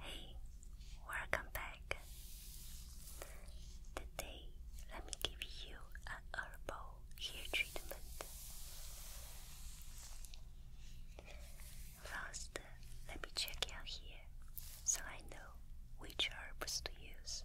Hey, welcome back. Today, let me give you an herbal hair treatment. First, let me check your hair so I know which herbs to use.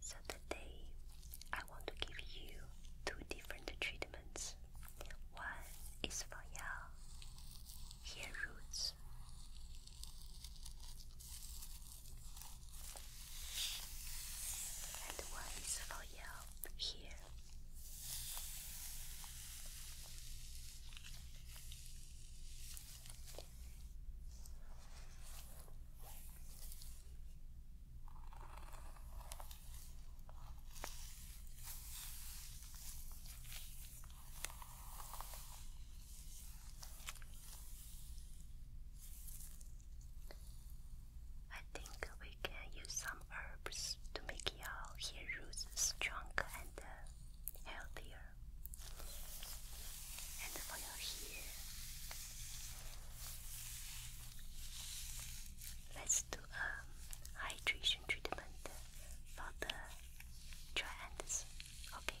So today I want to give you two different treatments. One is for your hair roots. And one is for your hair. I think we can use some herbs to make your hair roots stronger and uh, healthier. And for your hair, Let's do a hydration treatment for the dry ants. Okay.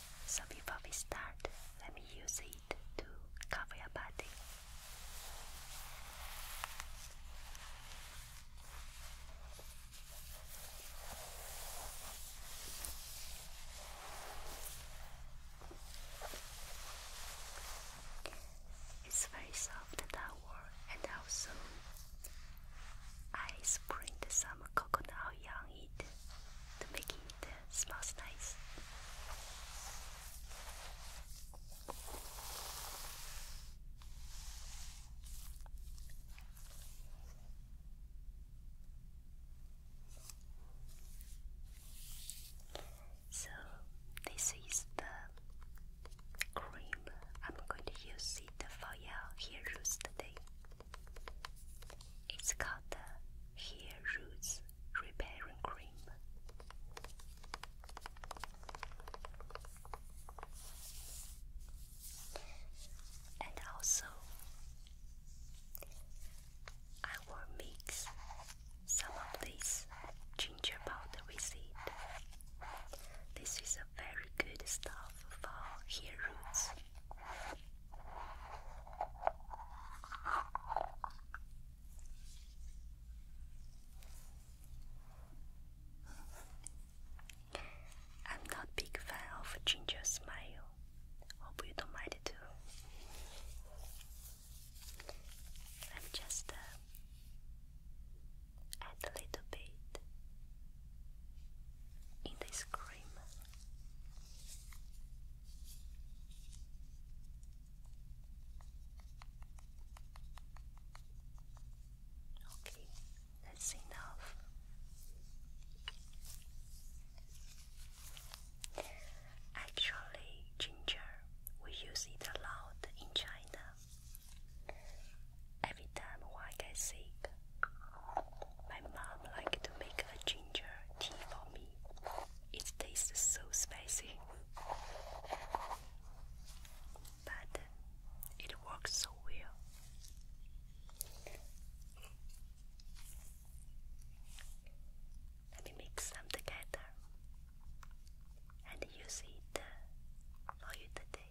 So before we start, let me use it to cover your body. It's very soft towel and also I sprinkled some coconut oil on it to make it Smells nice. So, this is the cream. I'm going to use it for your hair roots today. It's called the Hair Roots Repairing Cream. And also, I will mix some of this ginger powder with it. This is a very good stuff for hair roots. I'm not a big fan of ginger smile. Hope you don't mind it too. I'm just uh, add a little bit in this cream. Okay, that's enough. Actually, ginger, we use it a lot in China. Every time one gets sick, my mom likes to make a ginger tea for me. It tastes so spicy. But it works so well. Let me mix some together and use it for you today.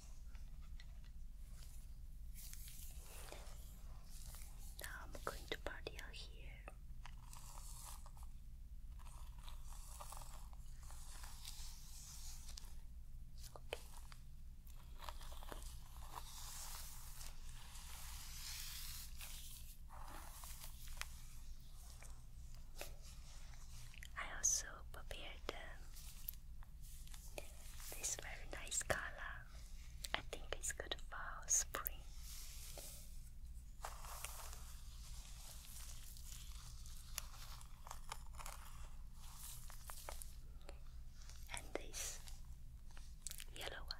Now I'm going to party out here. I also prepared um, this very nice color. I think it's good for spring. And this yellow one.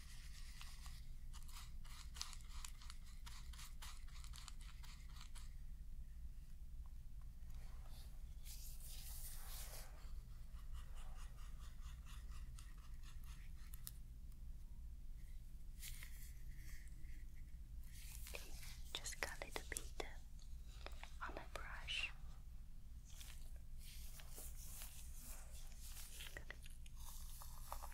Okay, just got a little bit uh, on my brush. Good.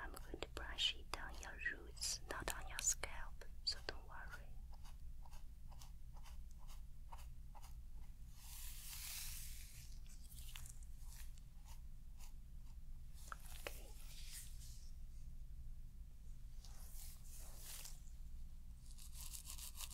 I'm going to brush it down your roots, not on your scalp, so don't worry. Okay.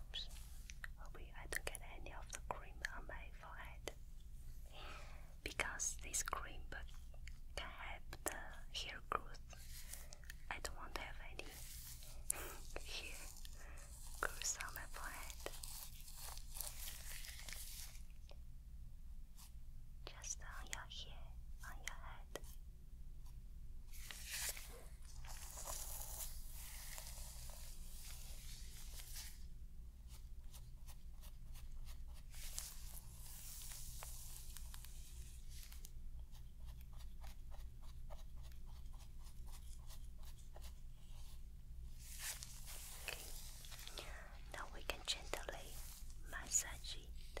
Oops. I don't get any of the cream on my forehead. Because this cream can help the hair growth. I don't want to have any hair growth on my forehead. Just on your hair, on your head. Okay. Now we can gently massage it.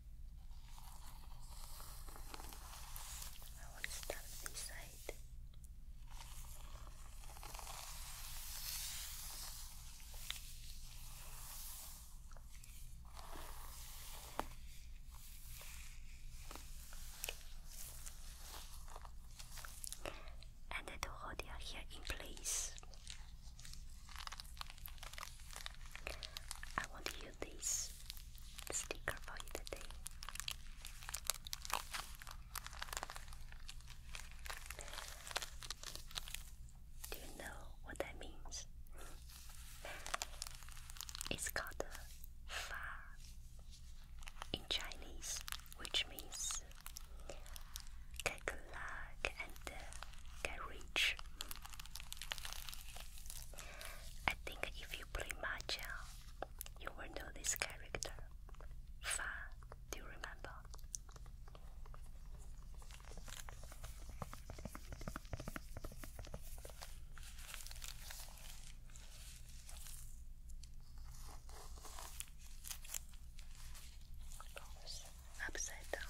I want start this side. And the to hold your hair in place. I want to use this sticker for you today. Do you know what that means? it's called Fa in Chinese, which means get luck and uh, get rich. I think if you play Mahjong, you will know this character. Fa, do you remember? Upside down.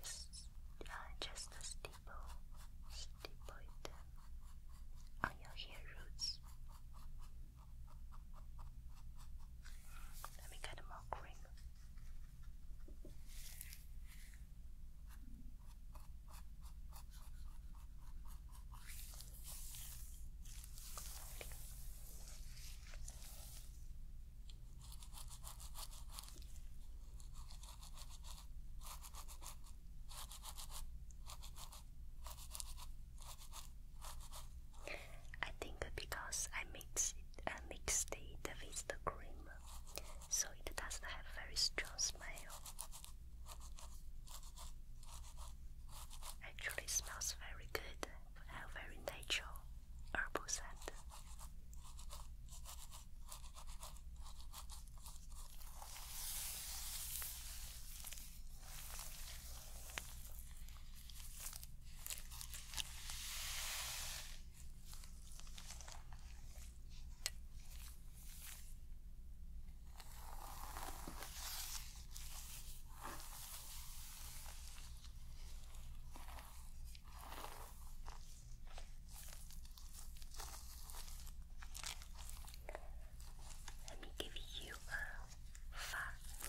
Just, uh, just a stipple, stipple on your hair roots. Let me get more green. Okay. I think because I mix it, I mixed it with the cream, so it doesn't have very strong smell. Actually, smells very good and uh, very natural herbal scent. Let me give you a fun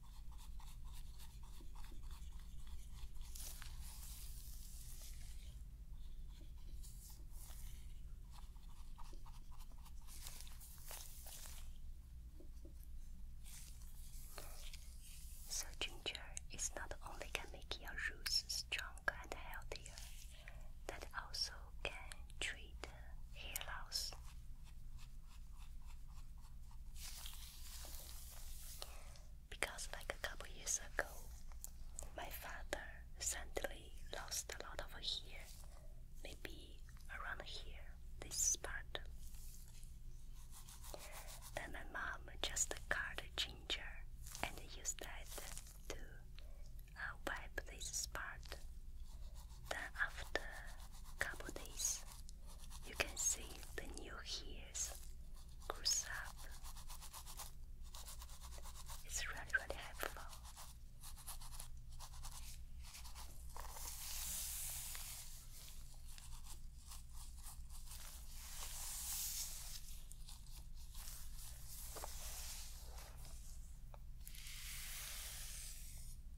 So ginger is not only can make your roots stronger and healthier, that also can treat hair loss. Because, like a couple years ago, my father suddenly lost a lot of hair, maybe around here, this part. Then my mom just cut ginger and used that to uh, wipe this part then after couple days, you can see the new hairs grows up. It's really really helpful.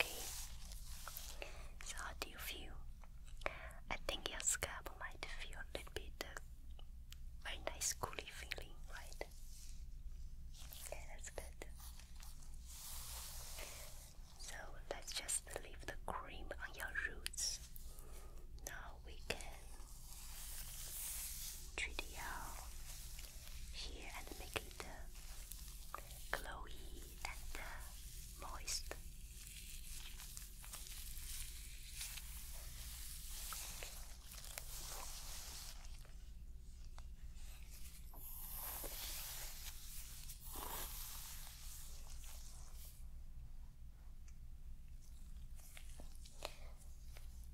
Okay. So do you feel? I think your scalp might feel a little bit uh, very nice cooly feeling, right? Okay, that's good. So let's just leave the cream on your roots. Now we can Tridio here and make it glowy and moist.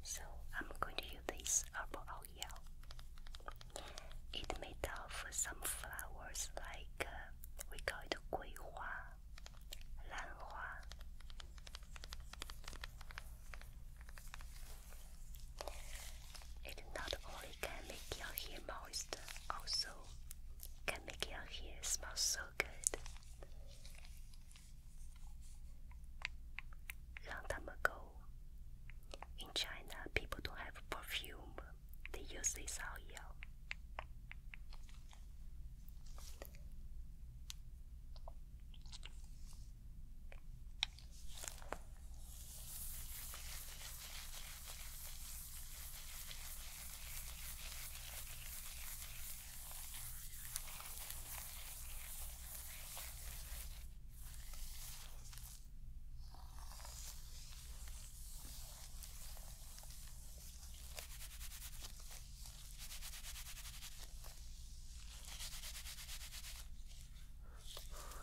So I'm going to use this herbal oil. It made of some flowers like uh, we call it gui hua, lan hua. It not only can make your hair moist, also can make your hair smell so good. Long time ago, in China, people don't have perfume, they use this oil.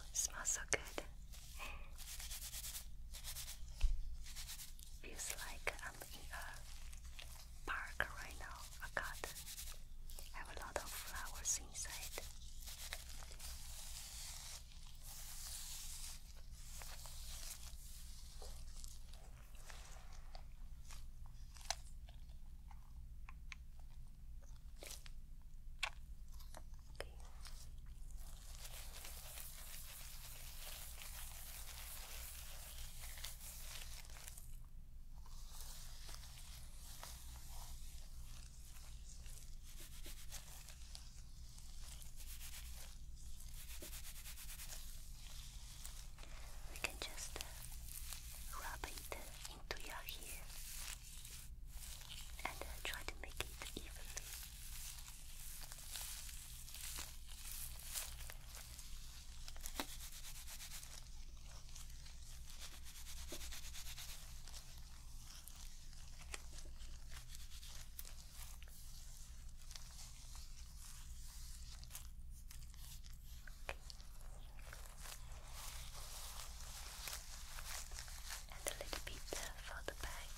It smells so good. Feels like I'm in a park right now, a garden. I have a lot of flowers inside. Okay. We can just uh, rub it into your hair and uh, try to make it evenly. And a little bit for the back.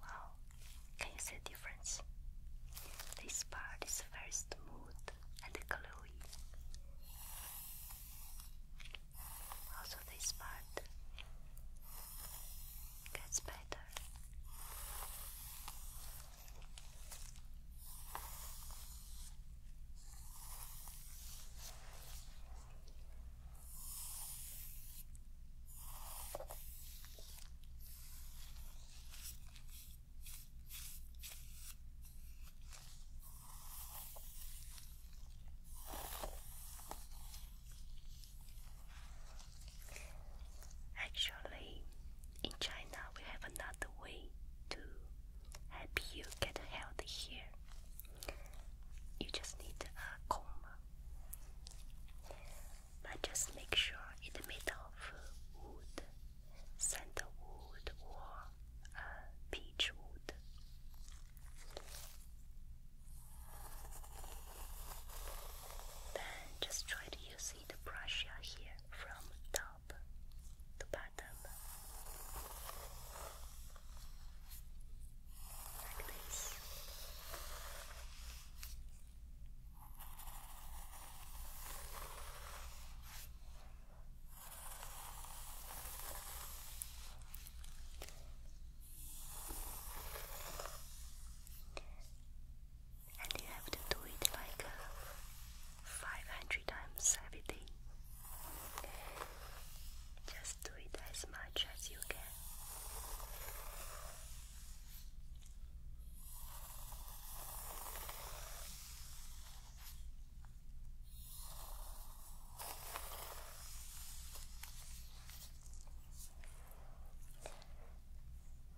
Wow, can you see the difference? This part is very smooth and glowy. Also this part gets better. Actually, in China, we have another way to help you get healthy here. You just need a comb, but just make sure it's made of wood, sandalwood, or uh, beech wood. Then just try to use the brush here from top to bottom. Like this. And you have to do it like uh, 500 times every day. Just do it as much as you can.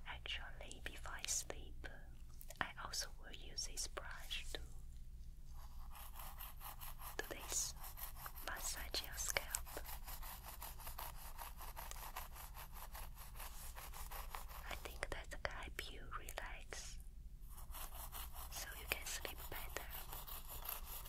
Actually, if I sleep, I also will use this brush to do this massage your scalp. I think that can help you relax so you can sleep better.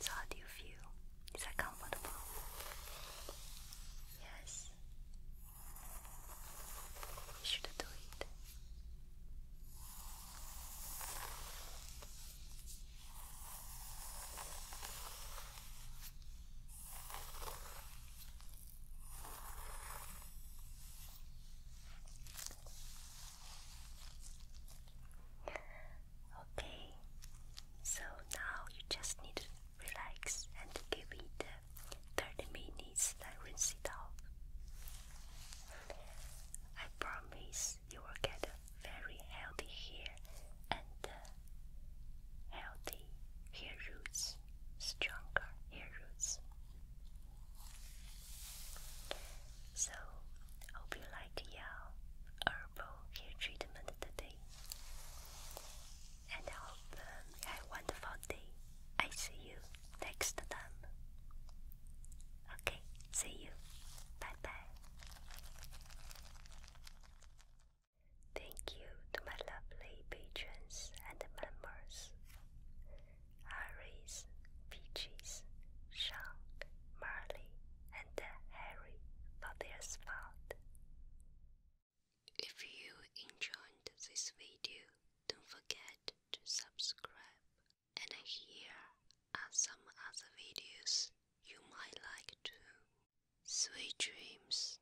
So how do you feel? Is that comfortable? Yes. You should do it. Okay, so now you just need to relax and give it 30 minutes then rinse it off. I promise you will get very healthy hair and uh, healthy hair roots stronger hair roots. So, hope you like your herbal hair treatment today. And I hope um, you have a wonderful day. I see you next time. Okay, see you. Bye bye. Thank you to my lovely patrons and members Iris, Peaches, Shank, Marley, and Harry for their support. If you enjoyed this video, don't forget to subscribe. And here are some other videos you might like too. Sweet dreams.